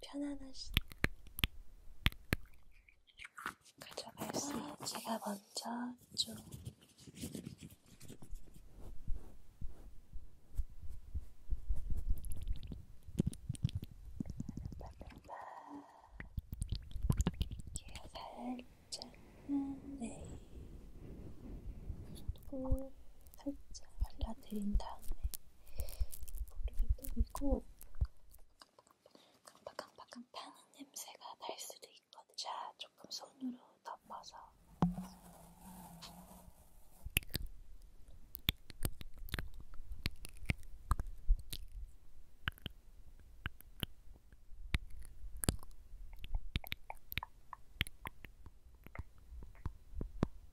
편안하시 가져갈 수 있어요. 제가 먼저 좀 이렇게 살짝만 네 그리고 살짝 발라드린 다음에 머리를 때리고 깜빡깜빡한 파는 냄새가 날 수도 있거든. 자, 조금 손으로 덮어서. 하려고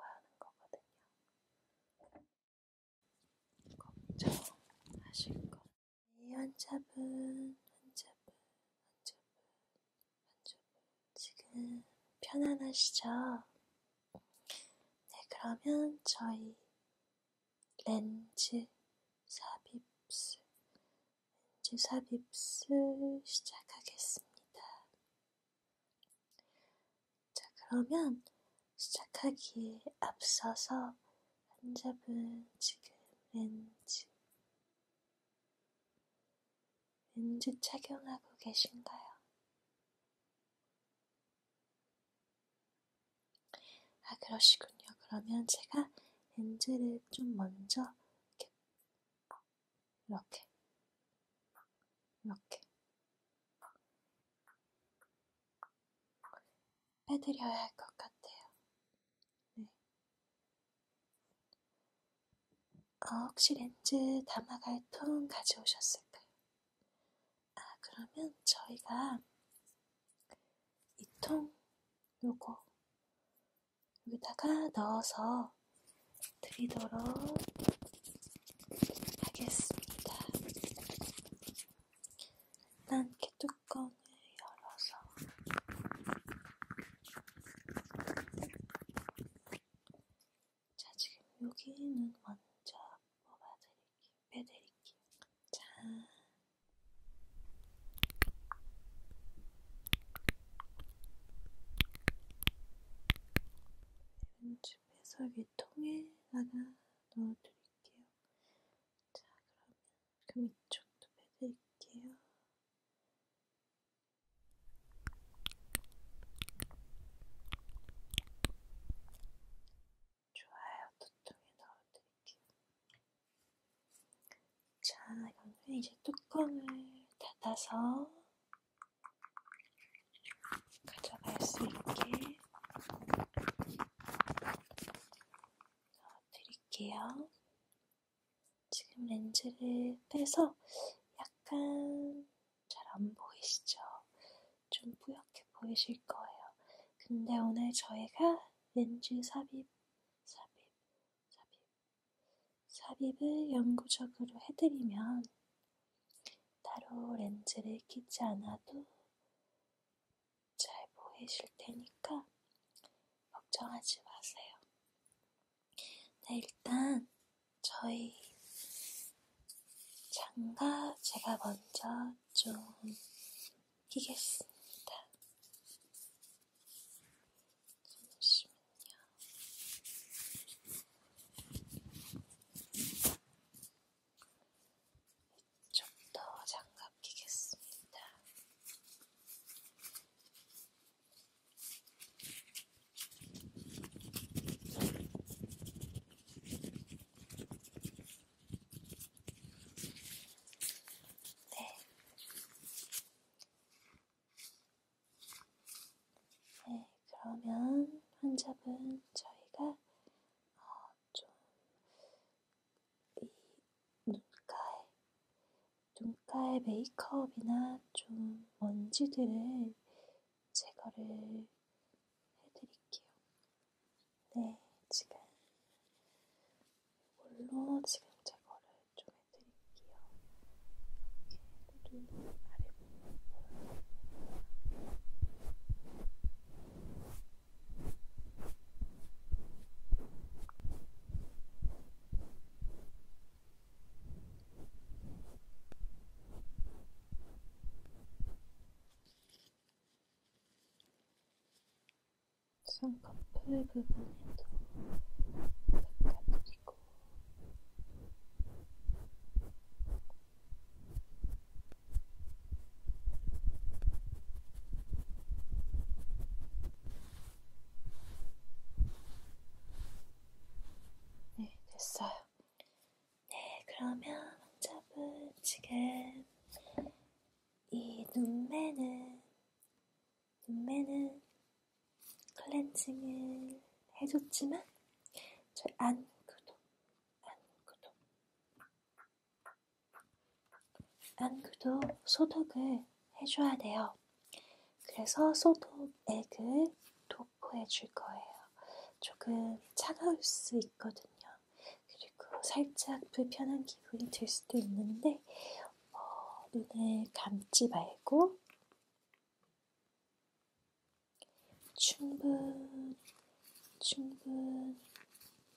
하는 거거든요. 걱정하실 거. 이 한잡은 한잡은 한잡은 만족을 지금 편안하시죠? 네, 그러면 저희 렌즈 삽입술, 렌즈 삽입술 시작하겠습니다. 자, 그러면 시작하기에 앞서서 환자분 지금 렌즈 은주 착용하고 계신가요? 아, 그러시군요. 그러면 제가 엔젤을 좀 먼저 이렇게 이렇게 이렇게 빼드려야 할 것 같아요. 네. 아, 혹시 렌즈 담아갈 통 가져오셨을까요? 아, 그러면 저희가 이 통 요거 여기다가 넣어서 드리도록 하겠습니다. 일단 이렇게 뚜껑을 열어서 자, 지금 여기는 먼저 뽑아드릴게요. 빼드릴게요. 자. 왼쪽 배설기 통에다가 넣어드릴게요. 자, 그러면 그럼 이쪽도 빼드릴게요. 좋아요. 두통에 넣어드릴게요. 자, 그러면 이제 뚜껑을 닫아서 가져갈 수 있게 넣어드릴게요. 지금 렌즈를 빼서 약간 잘 안 보이시죠? 좀 뿌옇게 보이실 거예요. 근데 오늘 저희가 렌즈 삽입, 삽입, 삽입, 삽입을 영구적으로 해드리면 따로 렌즈를 끼지 않아도 잘 보이실 테니까 걱정하지 마세요. 네, 일단 저희 장갑 제가 먼저 좀 끼겠습니다. 잠시만요. 이쪽도 장갑 끼겠습니다. 네. 네, 그러면 환자분 저희가 어, 좀이 눈가에, 눈가에 메이크업이나 좀 먼지들을 제거를 해드릴게요. 네, 지금 이걸로 지금 제거를 좀 해드릴게요. 이렇게 눈 아래 부분. 쌍꺼풀 부분에도 닦아드리고 네, 됐어요. 네, 그러면 환자분 지금 이 눈매는 눈매는 클렌징을 해줬지만 저 안구도 안구도 안구도 소독을 해줘야 돼요. 그래서 소독액을 도포해 줄 거예요. 조금 차가울 수 있거든요. 그리고 살짝 불편한 기분이 들 수도 있는데, 어, 눈을 감지 말고, 충분, 충분,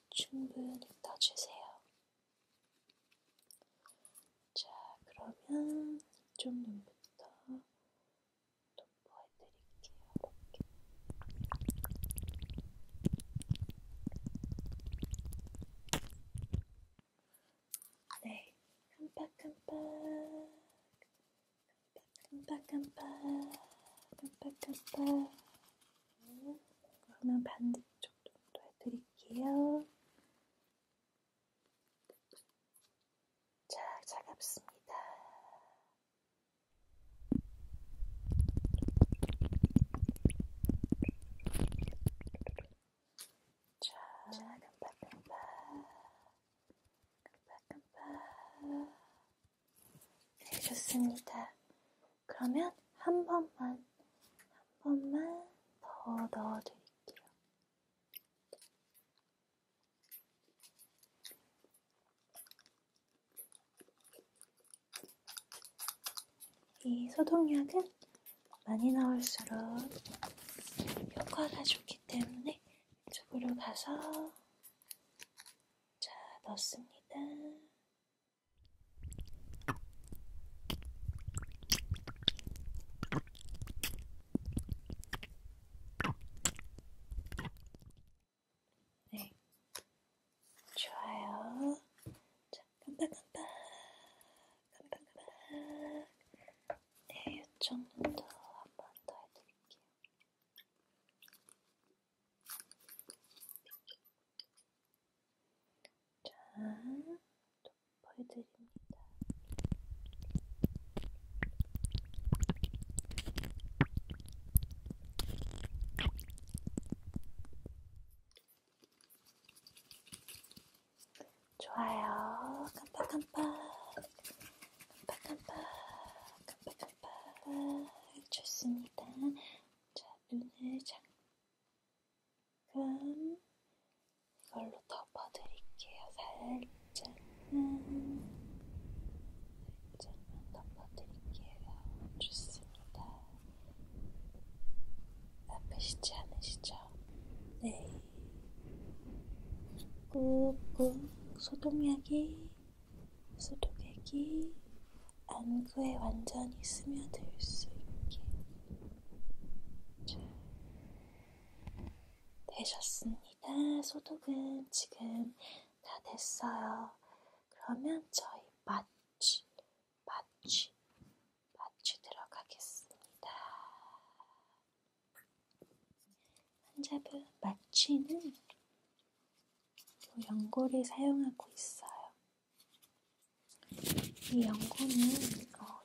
충분히 떠주세요. 자, 그러면 이쪽 눈부터 도포해드릴게요. 이렇게. 네, 깜빡깜빡, 깜빡깜빡, 깜빡깜빡. 깜빡. 그러면 반대쪽. 이쪽 정도 해드릴게요. 자, 차갑습니다. 자, 깜빡깜빡. 깜빡깜빡. 네, 좋습니다. 그러면 한 번만 한 번만 더 넣어드릴게요. 이 소독약은 많이 나올수록 효과가 좋기 때문에 이쪽으로 가서 자 넣습니다. 네, 좋아요. 자, 깜빡깜빡, 깜빡깜빡. 네, 이쪽 눈도 한 번 더 해드릴게요. 자, 또 보여드립니다. 좋아요. 깜빡깜빡. 깜빡깜빡. 깜빡깜빡. 좋습니다. 자, 눈을 잠깐 이걸로 덮어드릴게요. 살짝만, 살짝만 덮어드릴게요. 좋습니다. 아프시지 않으시죠? 네. 꾹꾹 소독약이, 소독약이 안구에 완전히 스며들 수 있게 잘 되셨습니다. 소독은 지금 다 됐어요. 그러면 저희 마취, 마취, 마취 들어가겠습니다. 환자분 마취는 또 연고를 사용하고 있어요. 이 연고는 어,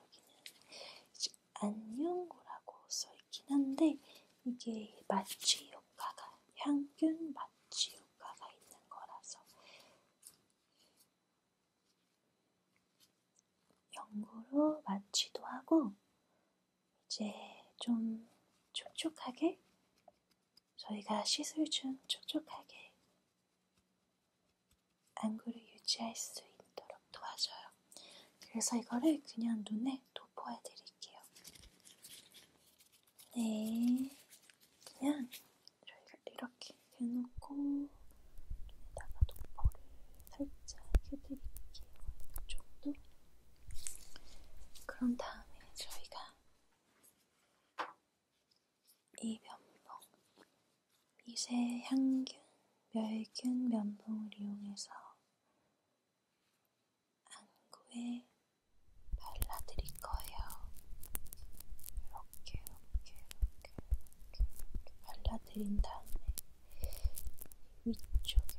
여기는 안연고라고 써있긴 한데 이게 마취 효과가 향균 마취 효과가 있는 거라서 연고로 마취도 하고 이제 좀 촉촉하게 저희가 시술 중 촉촉하게 안구를 유지할 수 있도록 도와줘요. 그래서 이거를 그냥 눈에 도포해 드릴게요. 네. 그냥 이렇게 대놓고 눈에다가 도포를 살짝 해드릴게요. 이 정도? 그런 다음에 저희가 이면봉 미세 향균, 멸균 면봉을 이용해서 안구에 발라드릴 거예요. 이렇게, 이렇게, 이렇게, 이렇게 발라드린 다음에 위쪽에도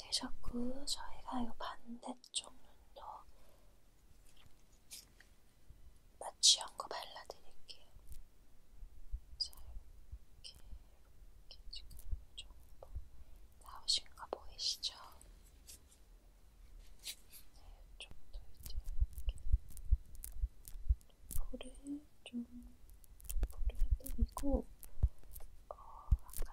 내셨고 저희가 요 반대쪽 눈도 마취 연고 발라드릴게요. 자, 이렇게, 이렇게 지금 이 정도 나오신 거 보이시죠? 네, 이쪽도 이제 이렇게 볼을 좀 볼을 때리고 어, 아까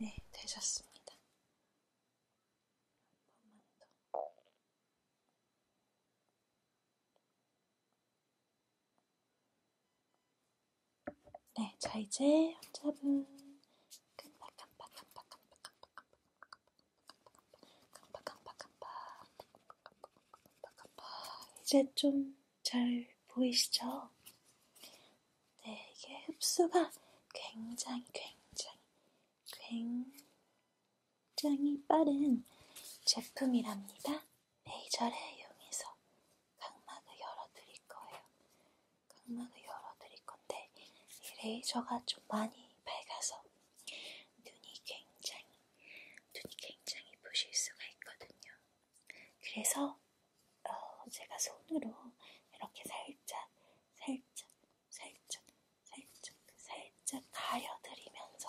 네, 되셨습니다. 한 번만 더. 네, 자 이제 환자분 깜빡깜빡깜빡깜빡깜빡깜빡깜빡 이제 좀 잘 보이시죠? 네, 이게 흡수가 굉장히, 굉장히, 굉장히 빠른 제품이랍니다. 레이저를 이용해서 각막을 열어드릴 거예요. 각막을 열어드릴 건데, 이 레이저가 좀 많이 밝아서 눈이 굉장히, 눈이 굉장히 부실 수가 있거든요. 그래서 어, 제가 손으로 이렇게 살짝, 살짝, 살짝, 살짝, 살짝 가려드리면서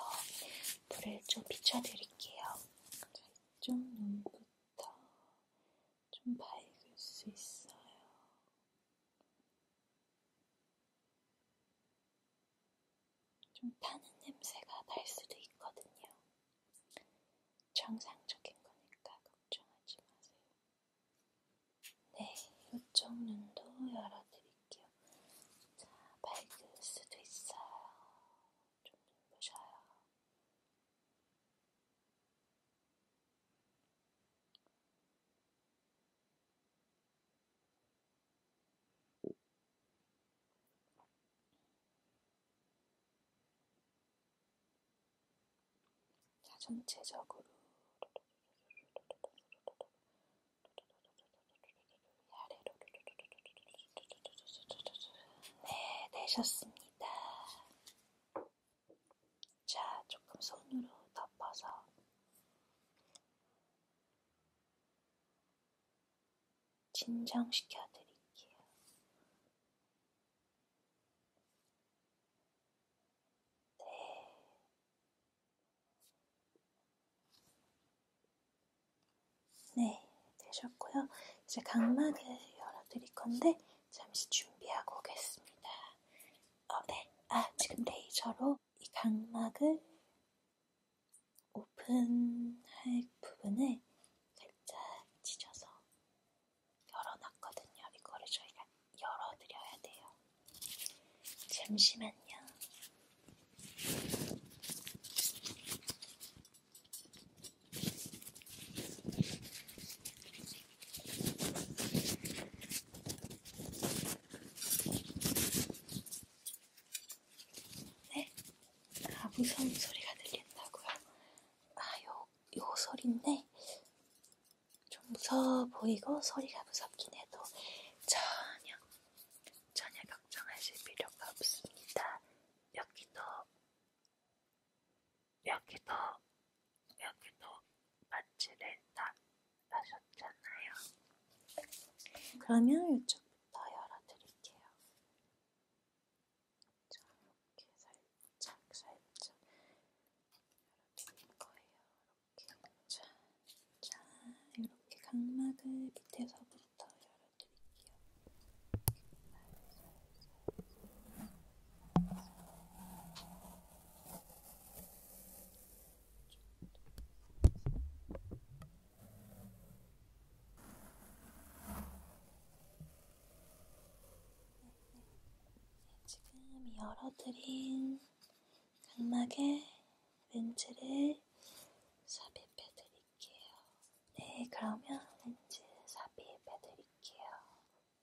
불을 좀 비춰드릴게요. 좀 눈부터 좀 밝을 수 있어요. 좀 타는 냄새가 날 수도 있거든요. 정상적인 거니까 걱정하지 마세요. 네, 이쪽 눈도 열어드릴게요. 자, 밝을 수도 있어요. 좀 눈부셔요. 자, 전체적으로 아래로 네, 되셨습니다. 자, 조금 손으로 덮어서 진정시켜 드릴게요. 네. 네, 되셨고요. 이제 각막을 열어드릴 건데, 잠시 준비하고 오겠습니다. 어, 네. 아, 지금 레이저로 이 각막을 오픈할 부분을 살짝 지져서 열어놨거든요. 이거를 저희가 열어드려야 돼요. 잠시만요. 네? 아, 무서운 소리가 들린다고요? 아, 요, 요 소리인데 좀 무서워 보이고 소리가 무섭긴 해도 전혀, 전혀 걱정하실 필요가 없습니다. 여기도 여기도 여기도 마취된다 하셨잖아요. 그러면 이쪽부터 열어드릴게요. 자, 이렇게 살짝 살짝 열어드릴 거예요. 이렇게 자, 자 이렇게 각막을 밑에서부터 열어드릴게요. 살살. 지금 열어드린 각막에 렌즈를 삽입해드릴게요. 네, 그러면 렌즈 삽입해드릴게요.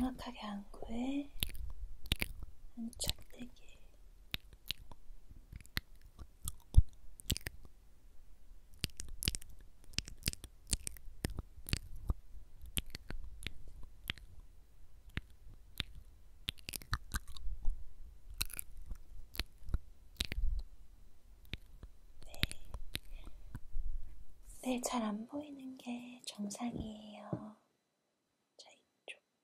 정확하게 안구에 안착되게 네, 잘 안 보이는 게 정상이에요. 자, 이쪽.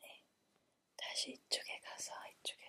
네, 다시 이쪽에 가서 이쪽에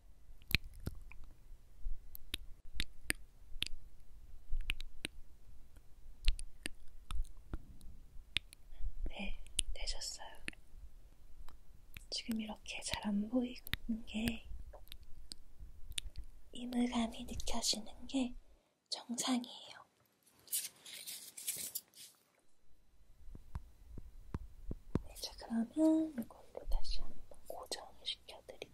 네, 되셨어요. 지금 이렇게 잘 안 보이는 게 이물감이 느껴지는 게 정상이에요. 네, 자, 그러면 이걸로 다시 한번 고정을 시켜드릴게요.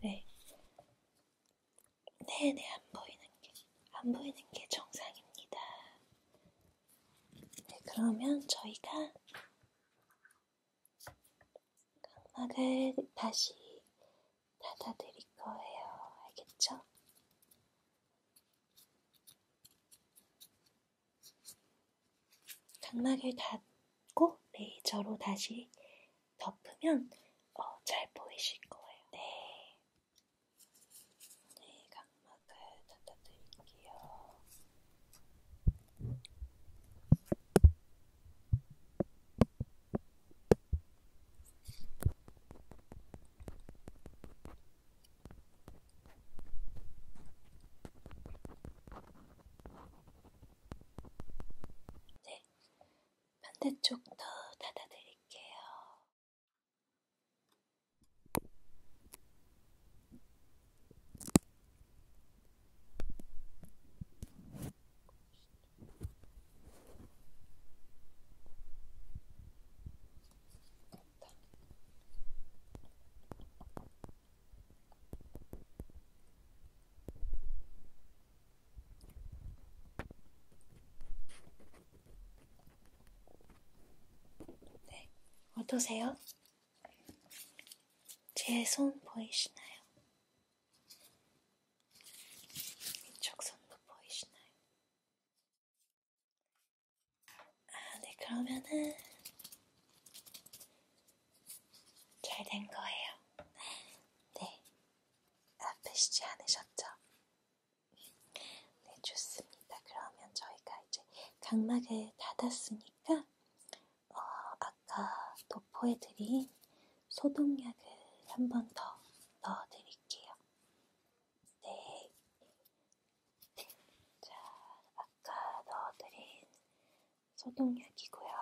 네. 네네, 네, 안 보이는 게, 안 보이는 게 정상입니다. 네, 그러면 저희가 각막을 다시 받아들일 거예요. 알겠죠? 각막을 닫고 레이저로 다시 덮으면 어, 잘 보이실 거예요. 네. 네, 각막을 닫아드릴게요. 네, 반대쪽도 닫아드릴게요. 네, 어떠세요? 제 손 보이시나요? 이쪽 손도 보이시나요? 아, 네, 그러면은 잘 된 거예요. 네, 아프시지 않으셨죠? 네, 좋습니다. 그러면 저희가 이제 각막을 닫았으니까 어, 아까 도포해드린 소독약을 한 번 더 넣어드릴게요. 드릴게요. 네. 자, 아까 넣어드린 소독약이고요.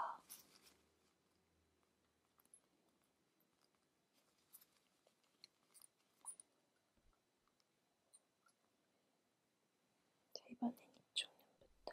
자, 이번엔 이쪽 눈부터.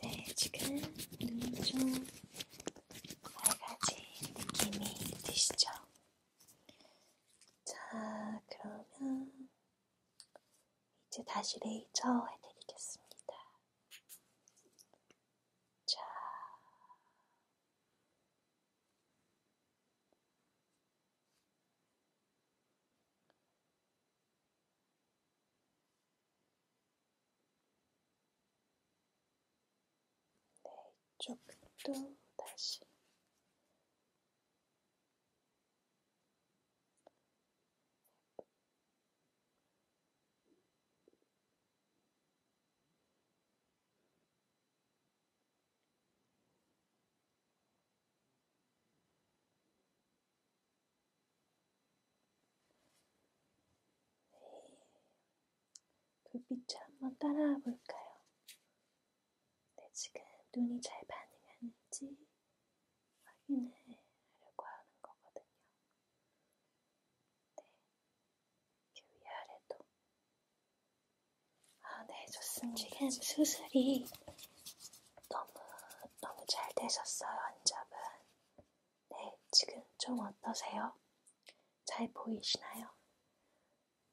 네, 지금 눈이 좀 밝아진 느낌이 드시죠? 자, 그러면 이제 다시 레이저 해드리겠습니다. 자, 네, 이쪽도 다시 불빛도 한번 따라와 볼까요? 네, 지금 눈이 잘 반응하는지 확인을 하려고 하는 거거든요. 네, 이렇게 위아래도 아, 네, 좋습니다. 지금 수술이 너무, 너무 잘 되셨어요, 환자분. 네, 지금 좀 어떠세요? 잘 보이시나요?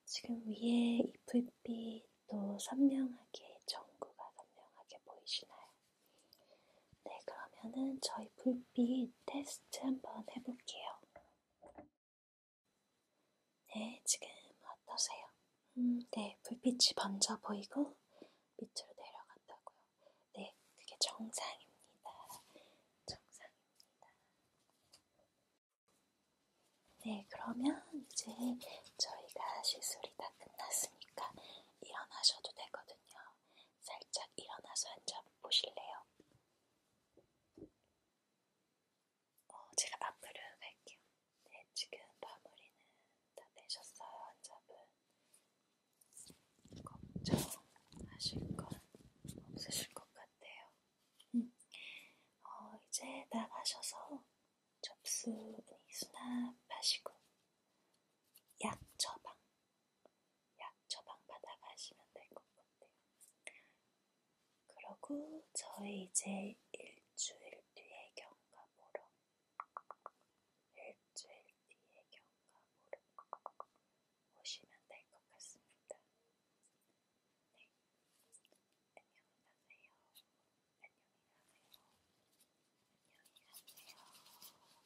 지금 위에 이불빛도 선명하게, 전구가 선명하게 보이시나요? 네, 그러면은 저희 불빛 테스트 한번 해볼게요. 네, 지금 어떠세요? 음, 네, 불빛이 번져 보이고 밑으로 내려간다고요. 네, 그게 정상입니다. 정상입니다. 네, 그러면 이제 저희가 시술이 다 끝났으니까 일어나셔도 되거든요. 살짝 일어나서 앉아 보실래요? 어, 제가 앞으로 갈게요. 네, 지금 마무리는 다 되셨어요, 환자분. 걱정하실 건 없으실 것 같아요. 음. 어, 이제 나가셔서 접수, 아니, 수납하시고, 약 처방 약 처방 받아가시면 될 것 같아요. 그러고 저희 이제 일주일 뒤에 경과 보러 일주일 뒤에 경과 보러 오시면 될 것 같습니다. 네. 안녕히 가세요. 안녕히 가세요. 안녕히 가세요.